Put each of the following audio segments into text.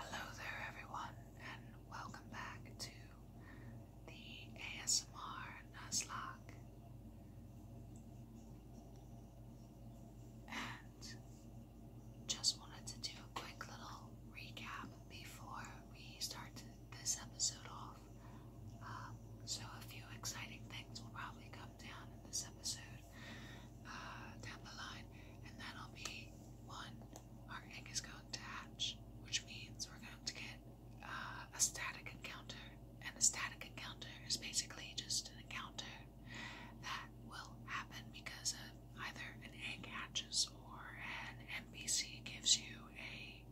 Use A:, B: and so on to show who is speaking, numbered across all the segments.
A: Hello there, everyone, and welcome back to the ASMR Nuzlocke. And just wanted to do a quick little recap before we start this episode off. Um, so, a few exciting things will probably come down in this episode uh, down the line, and that'll be one, our egg is going to hatch, which means we're going to get uh, a static encounter. And a static encounter is basically just an encounter that will happen because of either an egg hatches or an NPC gives you a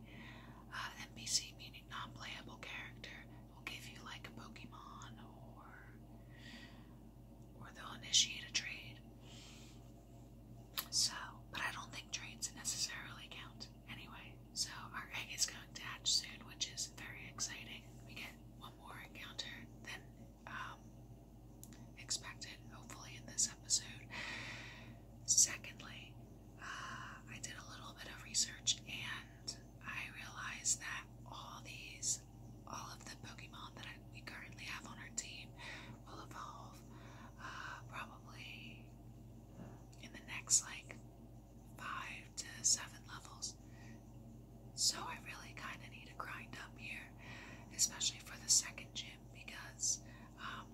A: uh, NPC, meaning non-playable character, will give you like a Pokemon or or they'll initiate a trade. So, but I don't think trades necessarily count anyway. So, our egg is going to hatch soon, which is very exciting. We get one more encounter than um, expected, hopefully, in this episode. Secondly, uh, I did a little bit of research and I realized that all these all of the Pokemon that we currently have on our team will evolve uh, probably in the next like five to seven levels. So I really kind of need to grind up here, especially for the second gym because um,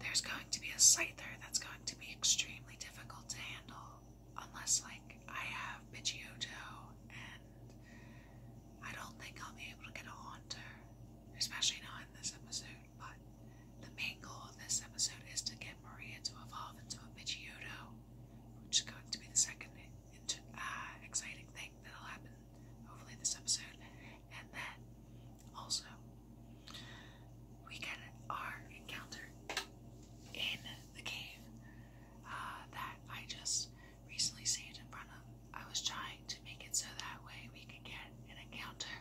A: there's going to be a Scyther that's going to be extremely difficult to handle unless like I have Pidgeotto and I don't think I'll be able to get a hunter, especially not in this episode, but the main goal of this episode is to get Maria to evolve into a Pidgeotto, which is going to be the second uh, exciting thing that'll happen, hopefully, this episode. And then, also, we get our encounter in the cave uh, that I just recently saved in front of. I was trying to make it so that way we could get an encounter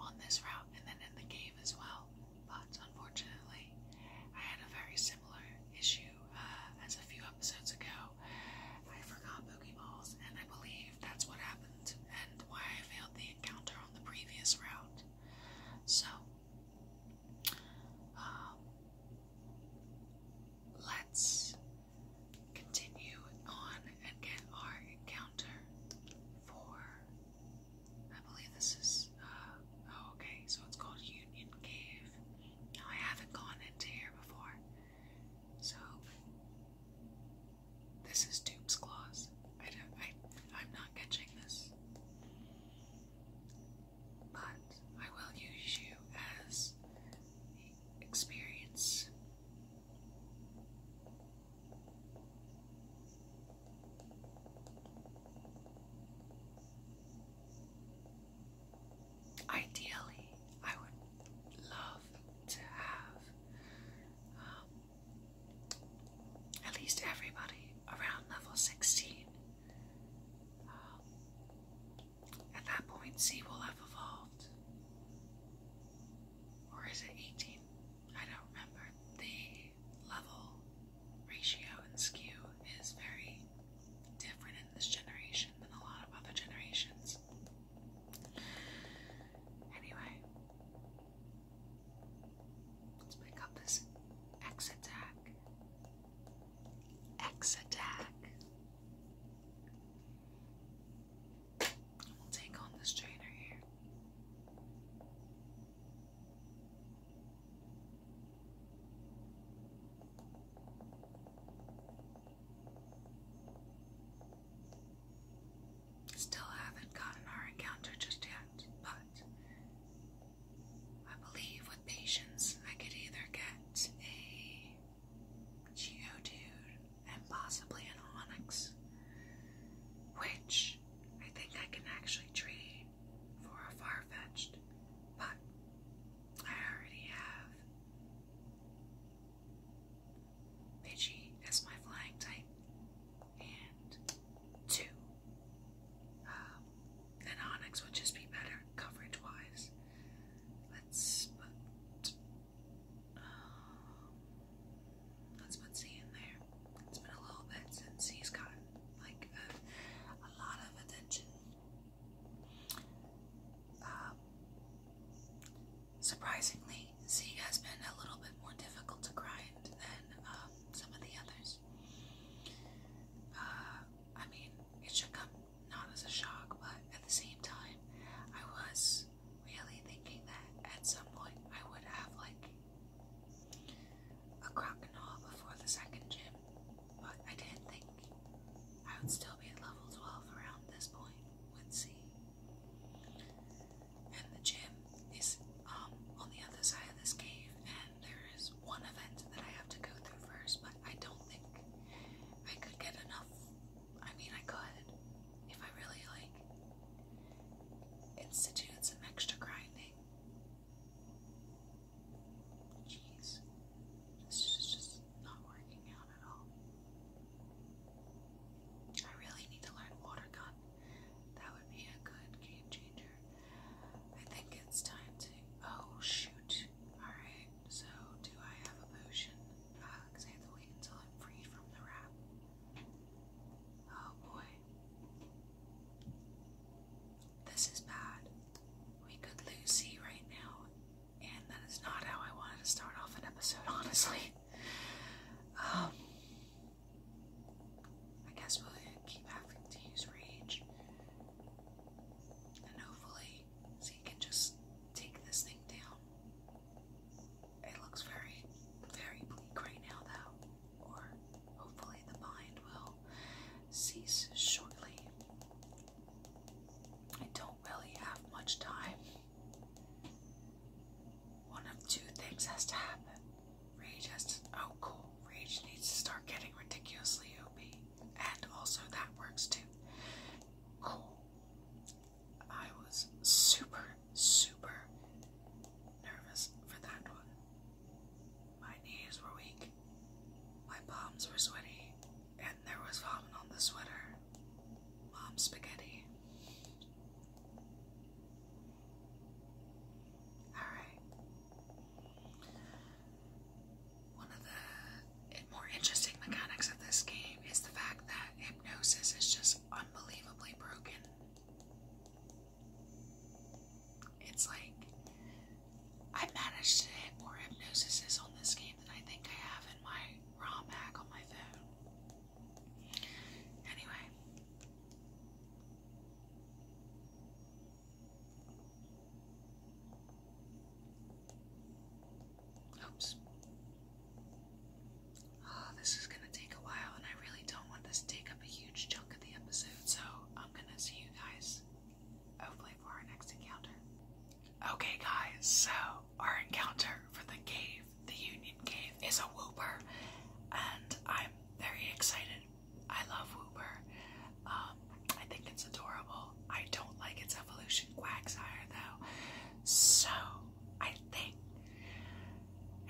A: on this route and then in the cave as well. But unfortunately, I had a very similar issue uh, as a few episodes ago. I forgot balls, and I believe that's what happened and why I failed the encounter on the previous route. So, um, let's continue on and get our encounter for. I believe this is. Uh, oh, okay, so it's called Union Cave. Now, I haven't gone into here before. So, this is Doom's Claws. I don't, I, I'm not catching this but I will use you as the experience. Ideally, I would love to have um, at least everybody around level 16. Um, at that point, C will have evolved. Or is it 18? I don't remember. The level ratio and skew is very different in this generation than a lot of other generations. Anyway, let's pick up this X attack. X attack. We'll take on this trainer here. Still haven't gotten our encounter just yet, but I believe with patience I could either get a Geodude, and possibly an Onyx, which I think I can actually trade for a far-fetched, but I already have Pidgey as my flying type and two um, then Onyx would just be better coverage wise. Let's put um, let's there. It's been a little bit since he's gotten like a, lot of attention. Um, surprisingly, C has been a little bit more difficult to grind than um, some of the others. Uh, I mean, it should come not as a shock, but at the same time, I was really thinking that at some point I would have like a crocodile before the second gym, but I didn't think I would still be at level 12 around this point with C. And the gym is um, on the other side of this cave, and there is one event that I have to go through first, but I don't think I could get enough. I mean, I could if I really like institute some extra grinding. Jeez, this is just not working out at all. I really need to learn water gun. That would be a good game changer. I think it's time to. Oh shoot! All right so do I have a potion? because uh, I have to wait until I'm freed from the wrap. Oh boy. This is bad. We could lose C right now, and that is not how I wanted to start off an episode, honestly. Um, I guess we'll keep having to use rage, and hopefully so you can just take this thing down. It looks very, very bleak right now, though, or hopefully the mind will cease shortly. I don't really have much time. One of two things has to happen. Rage has to. Oh, cool. Rage needs to start getting ridiculously OP and also that works too. Cool. I was super, super nervous for that one. My knees were weak, my palms were sweaty, and there was vomit on the sweater. Mom spaghetti. Alright. One of the more interesting mechanics of this game is the fact that hypnosis is just unbelievably broken. It's like I have managed to hit more hypnosises on this game than I think I have in my ROM hack on my phone. Anyway. Oops. Oh, this is gonna take a while, and I really don't want this to take up a huge chunk of the episode, so I'm gonna see you guys hopefully for our next encounter. Okay, guys, so our encounter for the cave, the Union Cave, is a whooper, and I'm very excited. I love whooper. Um, um, I think it's adorable. I don't like its evolution quagsire though. So I think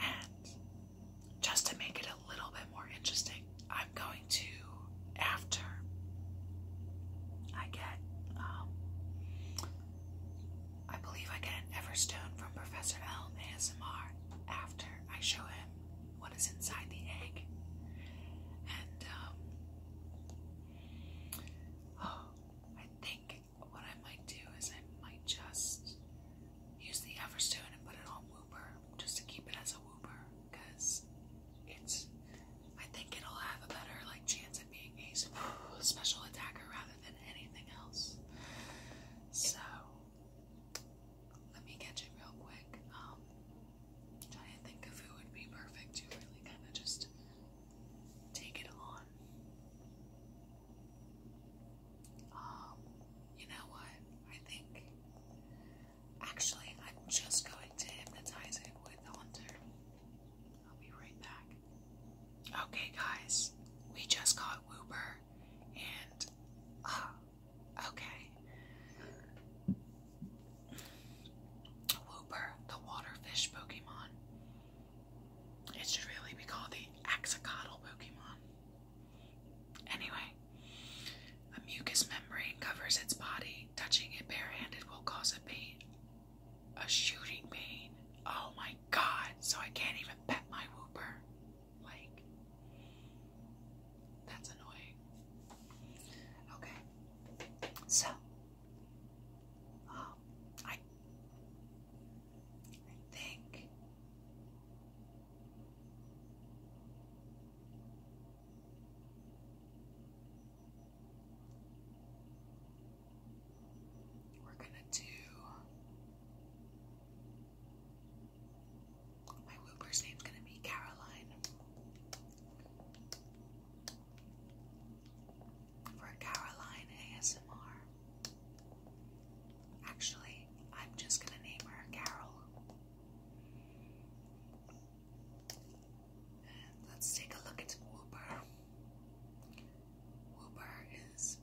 A: and just to make it a little bit more interesting, I'm going to after I get um, I believe I get an Everstone from Professor Elm ASMR after I show him what is inside the egg. And um, Oh, I think what I might do is I might just use the Everstone and put it on Wooper just to keep it as a Wooper because it's I think it'll have a better like chance at being a special attacker rather than anything else. So let me catch it real quick. Um, trying to think of who would be perfect to really kind of just take it on. Um, you know what? I think actually I'm just going to hypnotize it with Hunter. I'll be right back. Okay, guys, we just caught Wooper and uh okay. Whooper, the water fish Pokemon. It should really be called the Axolotl Pokemon. Anyway, a mucus membrane covers its body. Touching it barehanded will cause a pain. A shooting pain. Oh my god, so I can't even pet my whooper. Like, that's annoying. Okay, so Oh, I, I think. We're going to do my Whooper's going to be Caroline for Caroline ASMR. Actually, I'm just going to name her Carol. And let's take a look at Whooper. Whooper is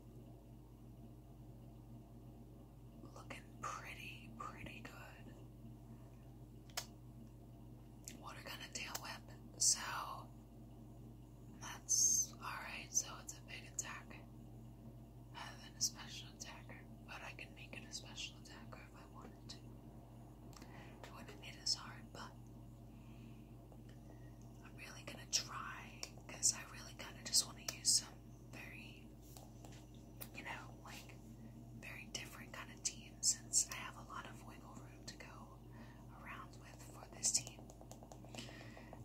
A: looking pretty, pretty good water gun and tail whip. So that's alright, so it's a big attack. Rather than a special attacker. But I can make it a special attacker if I wanted to. It wouldn't be as hard, but I'm really gonna try because I really kinda just wanna use some very you know, like very different kind of team since I have a lot of wiggle room to go around with for this team.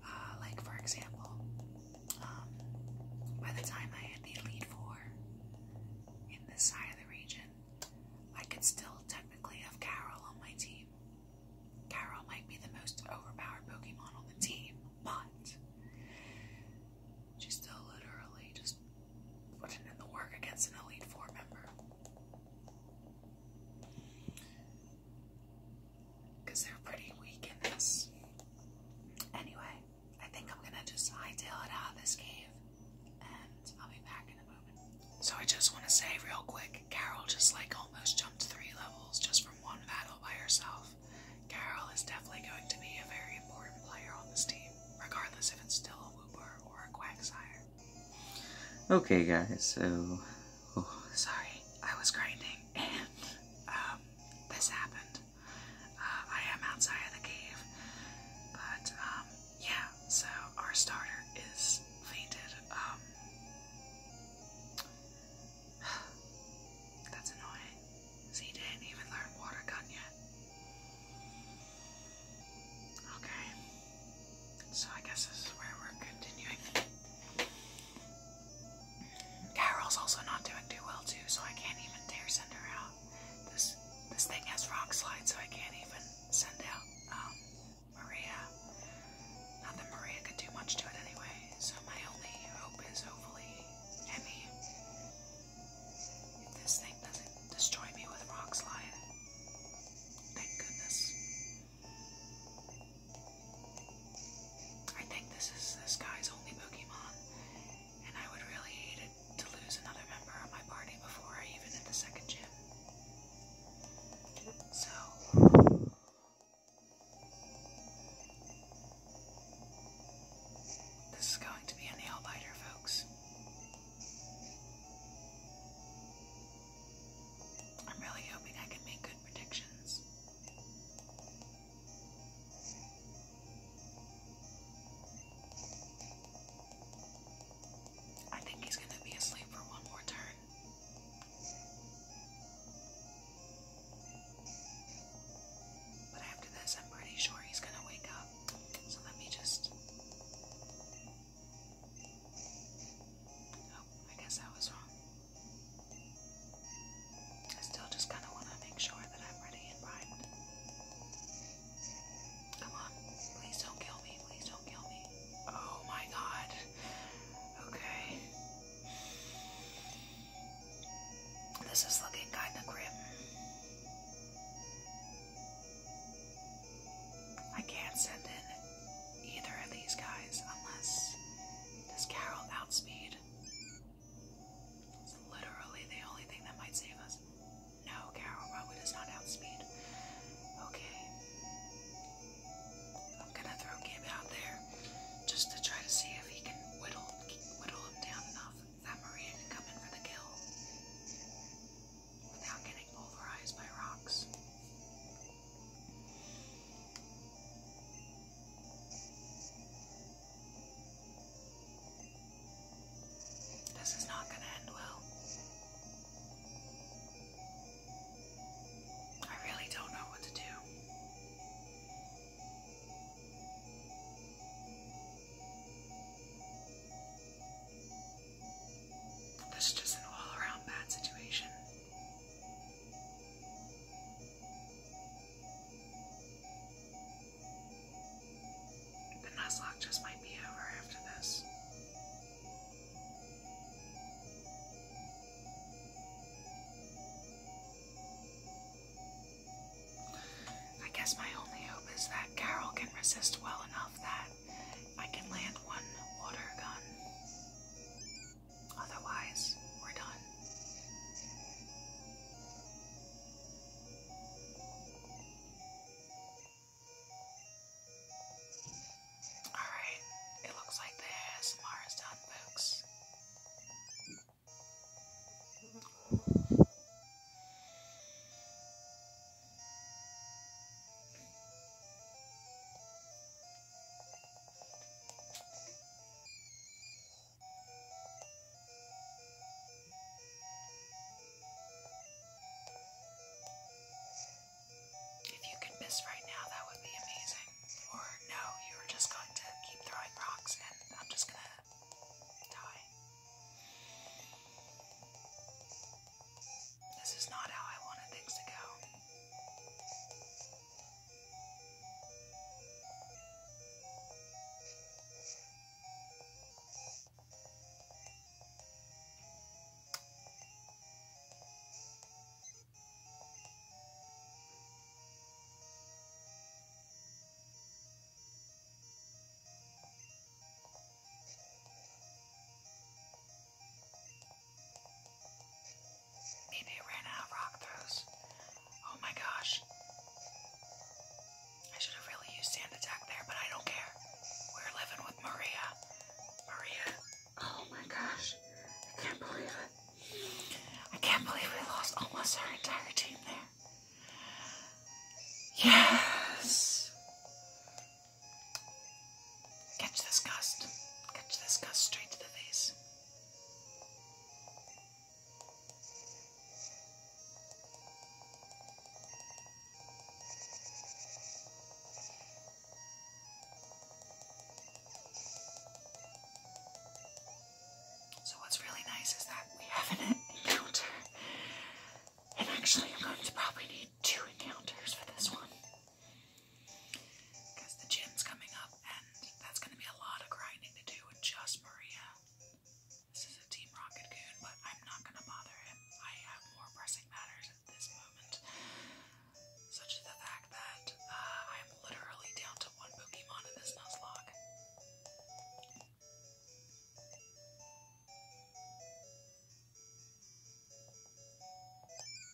A: Uh, like, for example, um, by the time I had the Elite Four in this side of the region, I could still technically have Carol on my team. Carol might be the most overpowered Pokemon on the team, but she still literally just putting in the work against an Elite Four member. Because they're pretty weak in this. Anyway, I think I'm gonna just hightail out of this cave and I'll be back in a moment. So I just wanna say real quick, Carol just like almost jumped three levels just from one battle by herself. Carol is definitely going to be a very important player on this team, regardless if it's still a Wooper or a Quagsire. Okay, guys, so. sorry, I was grinding and um, this happened. Uh, I am outside of the cave. But, um, yeah, so our starter is fainted. Um. That's annoying. he didn't even learn water gun yet. Okay. So I guess this is where we're continuing. Carol's also not doing too well too, so I can't even dare send her out. This this thing has rock slides, so I can't even send out um, Maria. Not that Maria could do much to it anyway. So my only hope is hopefully Emmy. this thing doesn't destroy me with a rock slide, Thank goodness. I think this is this guy's only Pokemon, and I would really hate to lose another member of my party before I even hit the second gym. So. This is going to be a nail biter, folks. I'm really hoping I can make good predictions. I think he's going to be asleep for one more turn. But after this, I'm pretty sure he's going to wake up. So let me just Oh, I guess I was wrong. I still just kind of want to make sure that I'm ready and primed. Come on, please don't kill me, please don't kill me. Oh my god. Okay. This is looking kind of grim. I can't send in either of these guys unless this Carol outspeeds. It's literally the only thing that might save us. No, Carol probably does not outspeed. Okay. I'm gonna throw Gib out there just to try to see if he can whittle whittle him down enough that Maria can come in for the kill without getting pulverized by rocks. This is not going to end well. I really don't know what to do. This is just an all around bad situation. The Nuzlocke just might be over after this. I guess my only hope is that Carol can resist well enough that I can land one water gun. Otherwise, we're done. Alright, it looks like the ASMR done, folks. If you could miss right now, that would be amazing. Or no, you were just going to keep throwing rocks and I'm just gonna die. This is not how I wanted things to go. Maybe I ran out of rock throws. Oh my gosh. I should have really used sand attack there, but I don't care. We're living with Maria. Maria. Oh my gosh. I can't believe it. I can't believe we lost almost our entire team there. Yes. Catch this gust. Catch this gust straight to the face. So, what's really nice is that we have an encounter, and actually, I'm going to probably need two encounters for this one. Because the gym's coming up and that's going to be a lot of grinding to do with just Maria. This is a Team Rocket Goon, but I'm not going to bother him. I have more pressing matters at this moment, such as the fact that uh, I'm literally down to one Pokemon in this log.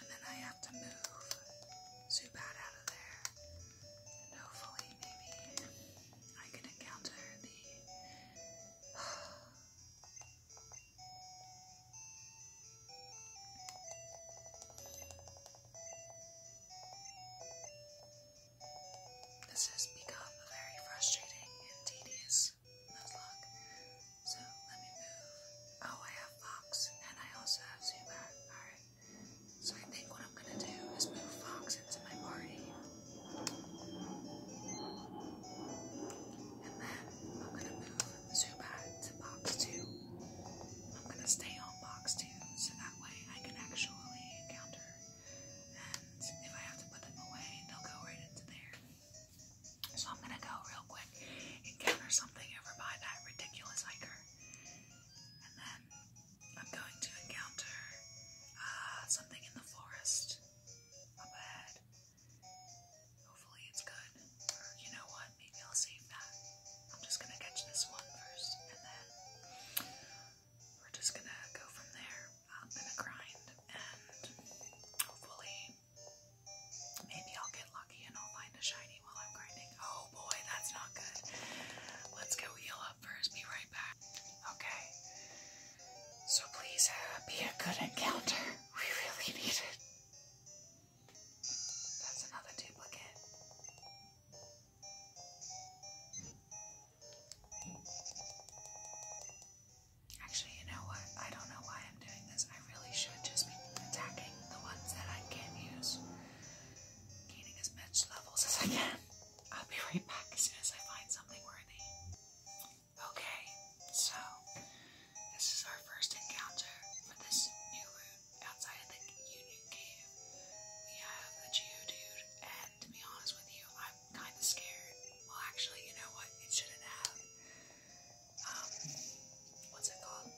A: And then I have to move Zubat out of there. hopefully, maybe I can encounter the. This has become very frustrating and tedious. Nuzlocke. So let me move. Oh, I have Fox, and I also have Zubat. Alright. So I think what I'm gonna do is move Fox into my party. And then I'm gonna move Zubat to box two. I'm gonna stay on box two so that way I can actually counter. And if I have to put them away, they'll go right into there. So I'm gonna go real quick, encounter something over by that ridiculous hiker, and then I'm going to encounter uh, something in the forest up ahead. Hopefully it's good. Or you know what? Maybe I'll save that. I'm just gonna catch this one first, and then we're just gonna go from there. I'm gonna grind, and hopefully Maybe I'll get lucky and I'll find a shiny while I'm grinding. Oh boy, that's not good. Let's go heal up first. Be right back. Okay. So please uh, be a good encounter. We really need it. That's another duplicate. Actually, you know what? I don't know why I'm doing this. I really should just be attacking the ones that I can use. Gaining as much levels as I can. I'll be right back as soon as I find something worthy. Okay, so this is our first encounter for this new route outside the Union Cave. We have a Geodude, and to be honest with you, I'm kind of scared. Well, actually, you know what? It shouldn't have. Um, what's it called?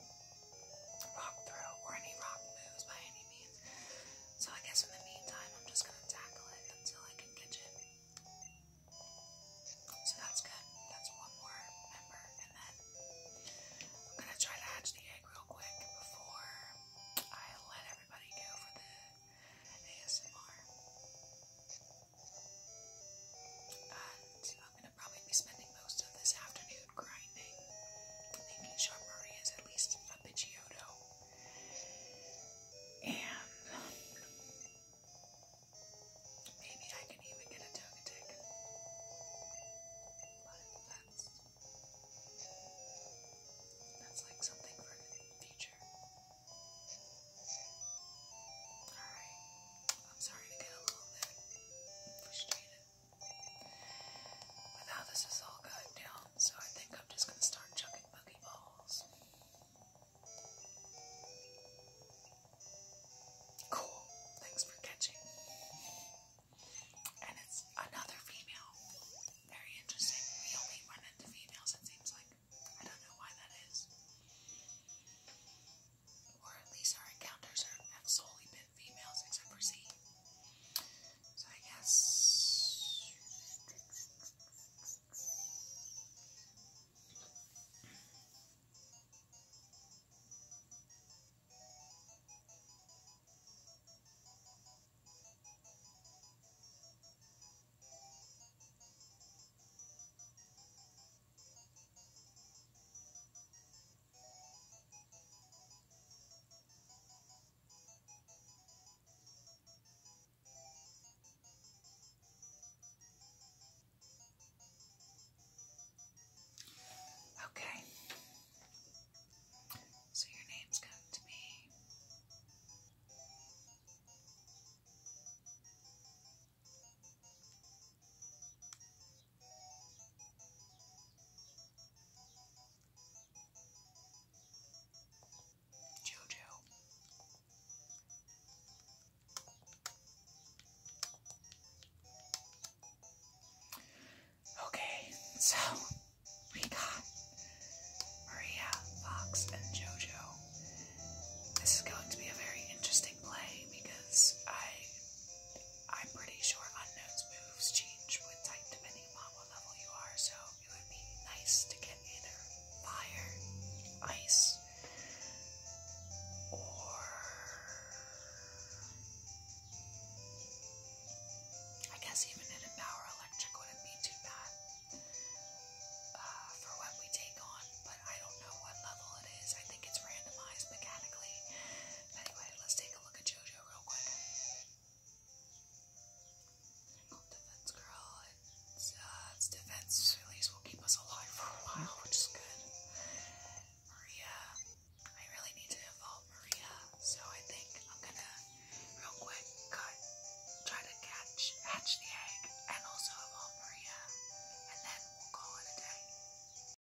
A: Rock throw or any rock moves by any means. So I guess in the meantime, I'm just gonna tackle it until I can catch it. So that's good. That's one more member, and then I'm gonna try to hatch the egg real quick before I let everybody go for the ASMR. And I'd probably be spending most of this afternoon grinding, making sure Murray is at least a Pidgeotto. And maybe I can even get a Togetic. But that's that's like something for the future. Alright. I'm sorry to get a little bit frustrated. With how this is all going down, so I think I'm just going to start chucking boogie balls. Cool. Thanks for catching. And it's another female. Very interesting. We only run into females, it seems like. I don't know why that is or at least our encounters are, have solely been females except for Z. So I guess. Okay. So your name's going to me. Jojo. Okay, so we got Maria, Fox, and Jojo. This is going to be a very interesting play because I I'm pretty sure unknown's moves change with type depending on what level you are, so it would be nice to get either fire, ice, or I guess even an empower electric wouldn't be too bad uh, for what we take on, but I don't know what level it is. I think it's randomized mechanically. Anyway, let's take a look at JoJo real quick. Defense Girl, uh, it's, defense at least will keep us alive for a while, which is good. Maria, I really need to involve Maria, so I think I'm gonna real quick cut, try to catch, hatch the egg, and also involve Maria, and then we'll call it a day.